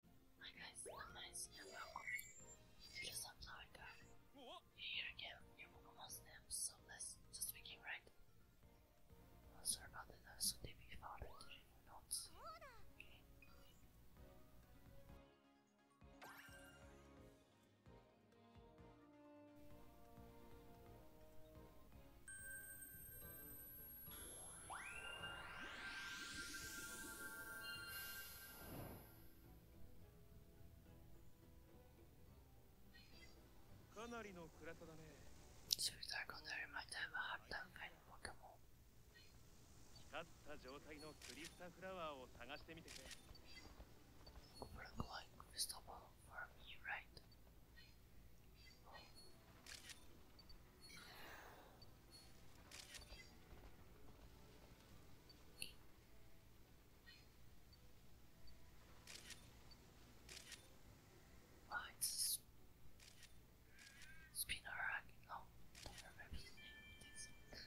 Hi guys, I'm Nice and welcome to the Sunflower Garden. Here again, your Pokemon stamps, so let's just begin right. Oh, sorry about that, so deep if I already read かなりの暗さだね。So we are going to remind them of hard time kind of Pokemon. 光った状態のクリスタフラワーを探してみてくれ。Open like crystal ball for me, right? Oh, it's Spinarak. Oh, I don't remember the name of this.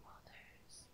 Well, there's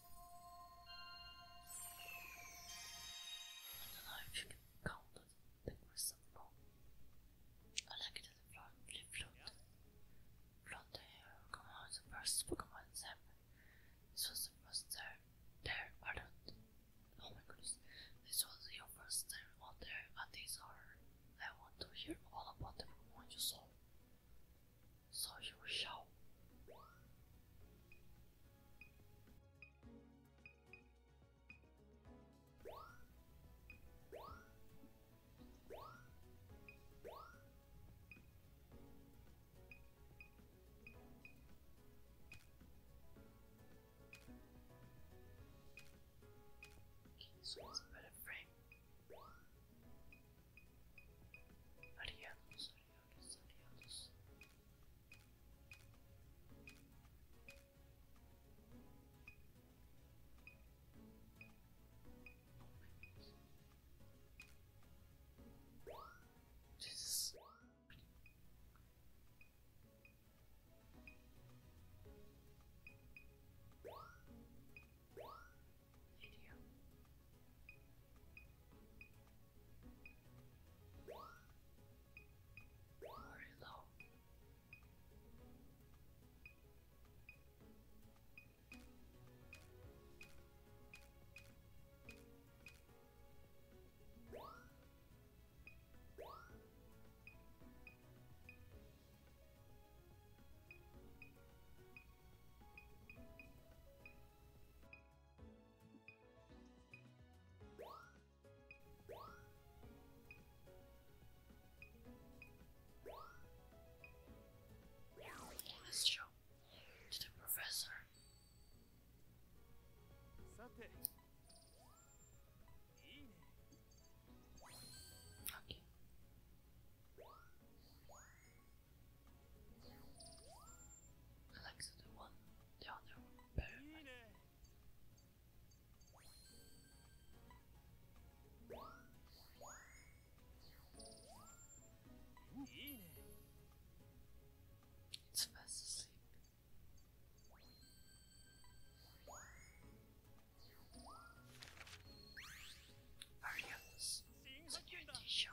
I don't know you can count it. There I like it in the front, come on, the first Pokemon Zap. This was the first there. There, I don't. Oh my goodness. This was your first time out there, and these are. I want to hear all about the Pokemon you saw so you shall. Okay, so it's a better frame. Allez, allons, allez notice that else. Oh this is video. Or hello. Hello. Let's show to the professor. Okay. I the one, the other one better. It's fast asleep. Ariana's security show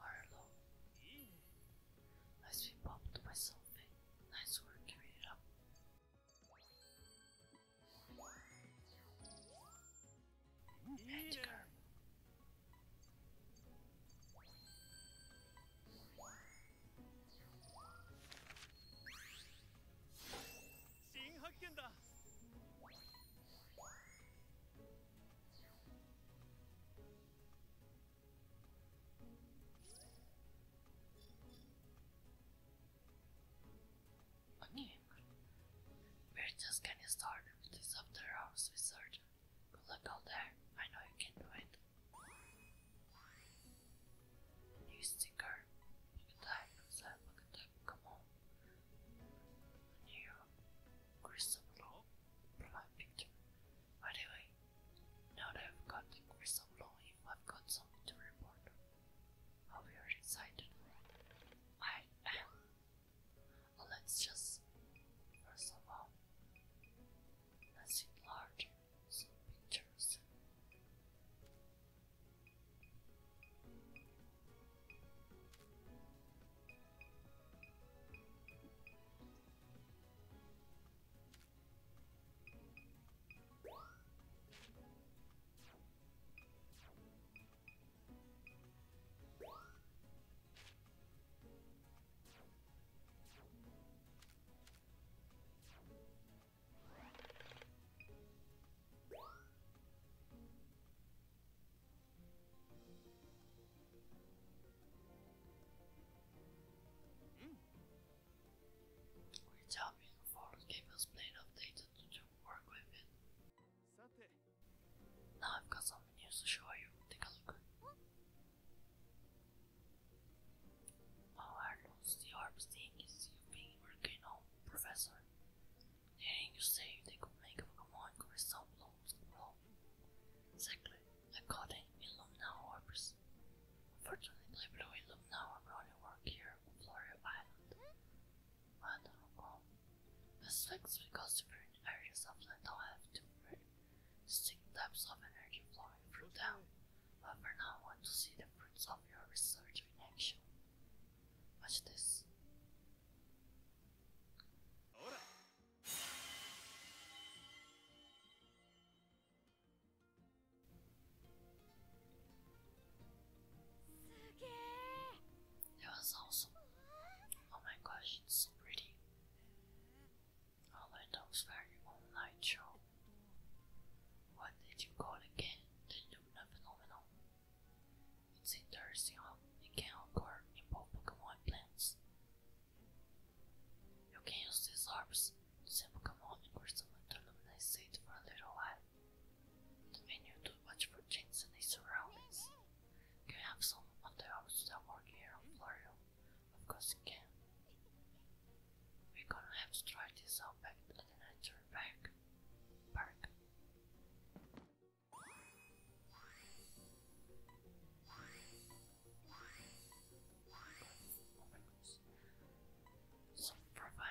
Marlo. Nice we popped Nice work, giving it up. 新発見だ A new We're just getting started with this after hours research. Good out there. I know you can do it. New sticker. Type type come on. new crystal law. Provide picture. By the way, now that I've got the crystal law, I've got something to report, I'll excited. I am. Let's just first of all. Let's enlarge some pictures. We're hoping for Gabriel's plane updated to work with it. Now I've got some news to show you. Take a look. How are those orbs things you've been working on, Professor? Didn't you say they could make Pokemon resemble glow? Exactly, I got an Illumina orbs. Unfortunately, Blue Illumina orb only work on Florio Island. But how come? I because different areas of land do have different distinct of energy flowing through them but for now I want to see the fruits of your research in action. Watch this. That was awesome. Oh my gosh, it's so pretty. I know is very online show. What did you call again the Luna phenomenon? It's interesting how it can occur in both Pokemon plants. You can use these orbs to send Pokemon and Crystal to luminescate for a little while. When you do for changes in the surroundings, you have some of the that work here on Florio. Of course we're gonna have to try this out back at the nature park. back. Oh my goodness. Some profile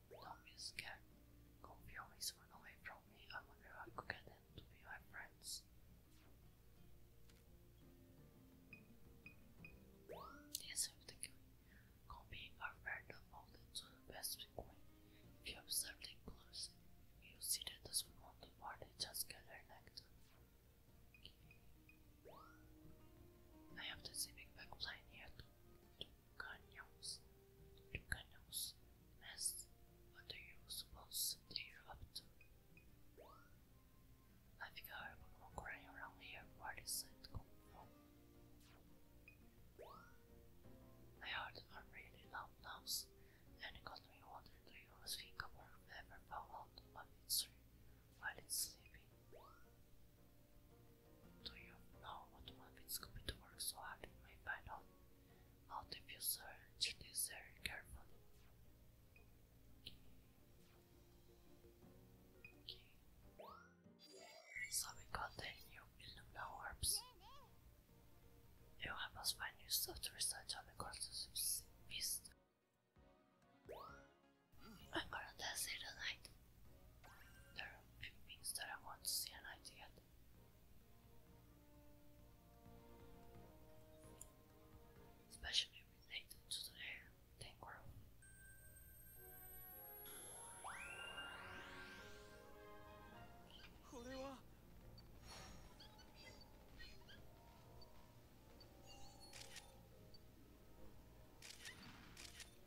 Don't be scared. Goofy always run away from me. I wonder if I could get to be my friends. Yes, the Goofy are very molded to best way. If you observe closely, you'll see that the part they just gather nectar. I have the back plane here canyons, canyons, Miss, what do you suppose you're up I've got a Pokemon crying around here, where is it coming from? I heard a really loud noise, and it got me wondering do you think a bird ever fell out while it's sleeping? Do you know what motivates Scooby to work so hard? You may find out. How if you search this very So we got the new Illumina orbs. You have us find new stuff to research on the courses of this. I'm gonna test it tonight. There are few things that I want to see and especially related to the hair they grow.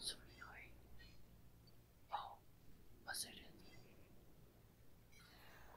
Sorry. Oh, was it in? Oh,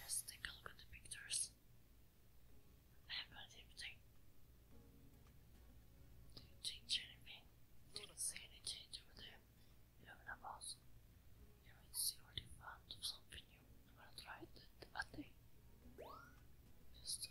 let's take a look at the pictures. I have no didn't change anything. Didn't see any change over there. You have an house. You might see already found something I'm going to try it that day? Just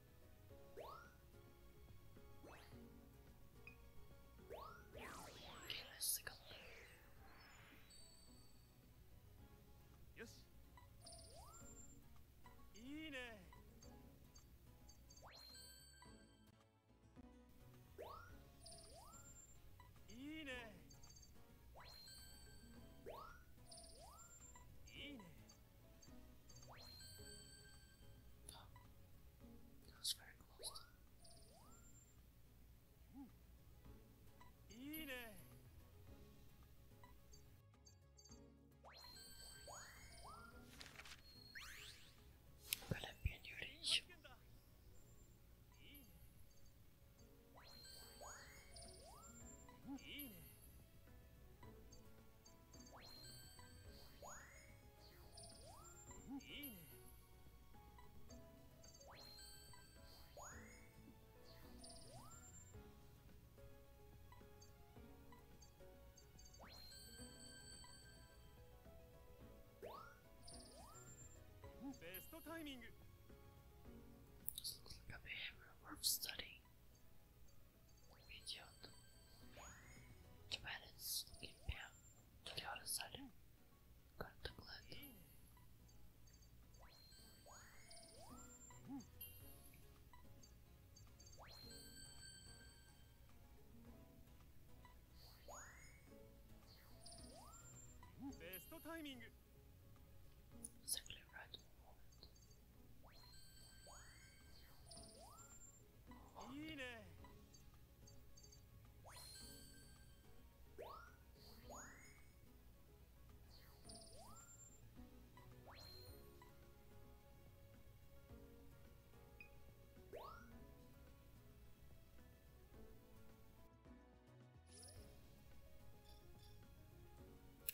よしいいねいいねいいね Oh, that was very close. Mm. Well, I'm in your age. Mm. Just looks like a behavioral worth studying. Идет. Тюменец Гимпе. Туриора Салим. Карта Глэд. Best timing. Exactly right moment.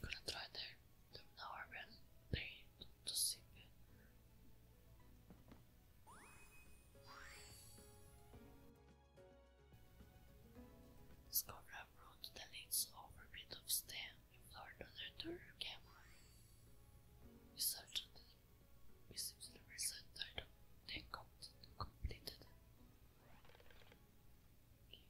Gonna try there. They've never been paid to see it. that leads over a bit of stem in Florida later camera. We searched the received the result item, then completed completed.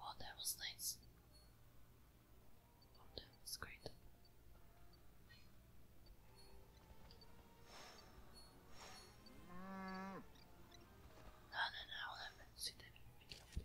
Oh, that was nice. Oh, that was great. No, no, no, I'll See that video, please.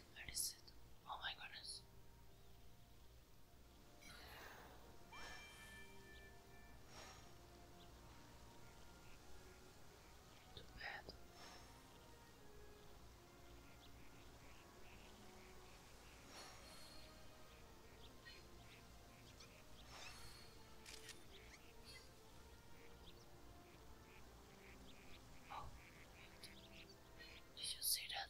Where is it? Oh my goodness. Too bad. Oh, did you see that?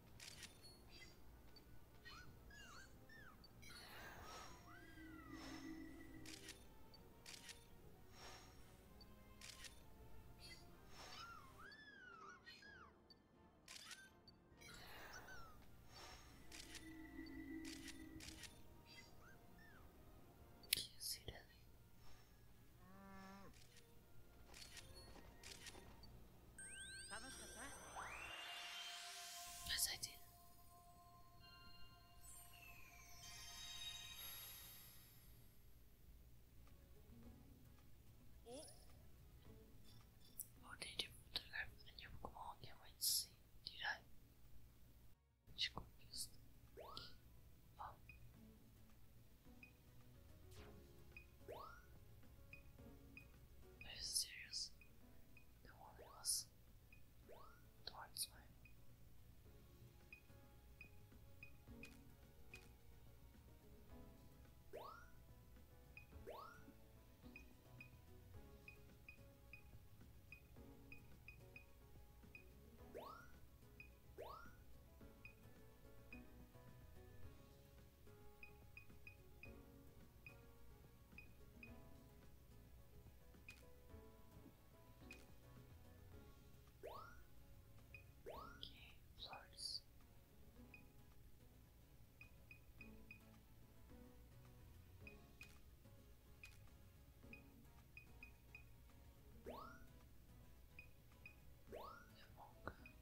Do you see that? Yes, I did. Oh, did you photograph a new not wait to see. Did I? She confused. Are you serious? The woman was towards Okay, flowers. Among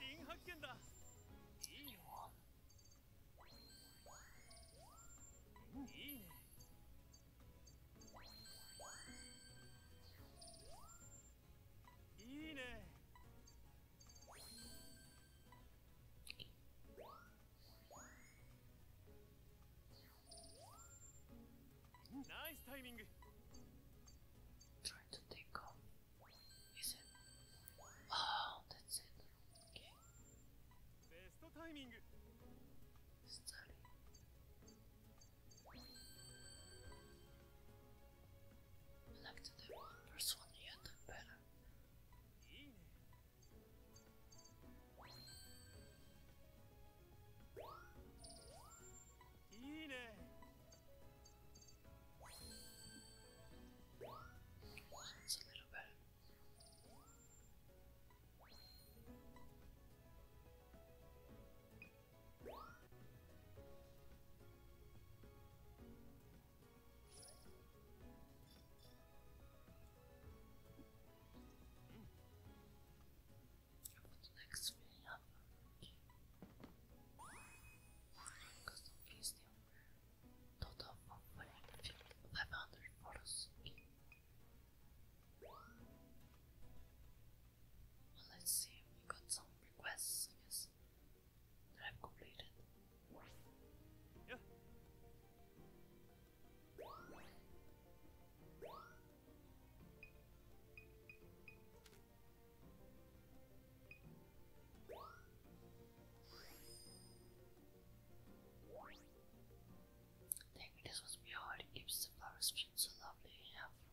新発見だいいよ、いいねいいね Nice timing. Trying to think of. Is it? Oh, that's it. Okay. Best timing. Study. Like the first one yet, yeah, that's a little better. Mm. About the next three avalanche. Custom Total of 500 photos. let's see, we got some requests, I that I've completed. Yeah. The ingredients must be hard, keeps the flower stream so lovely and helpful.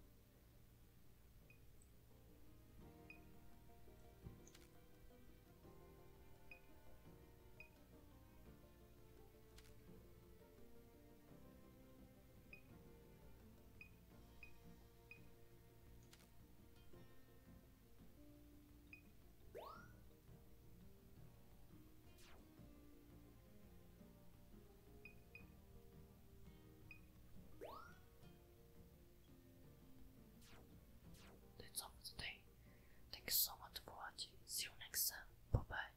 That's all for today. Thanks so much for watching. See you next time. Bye bye.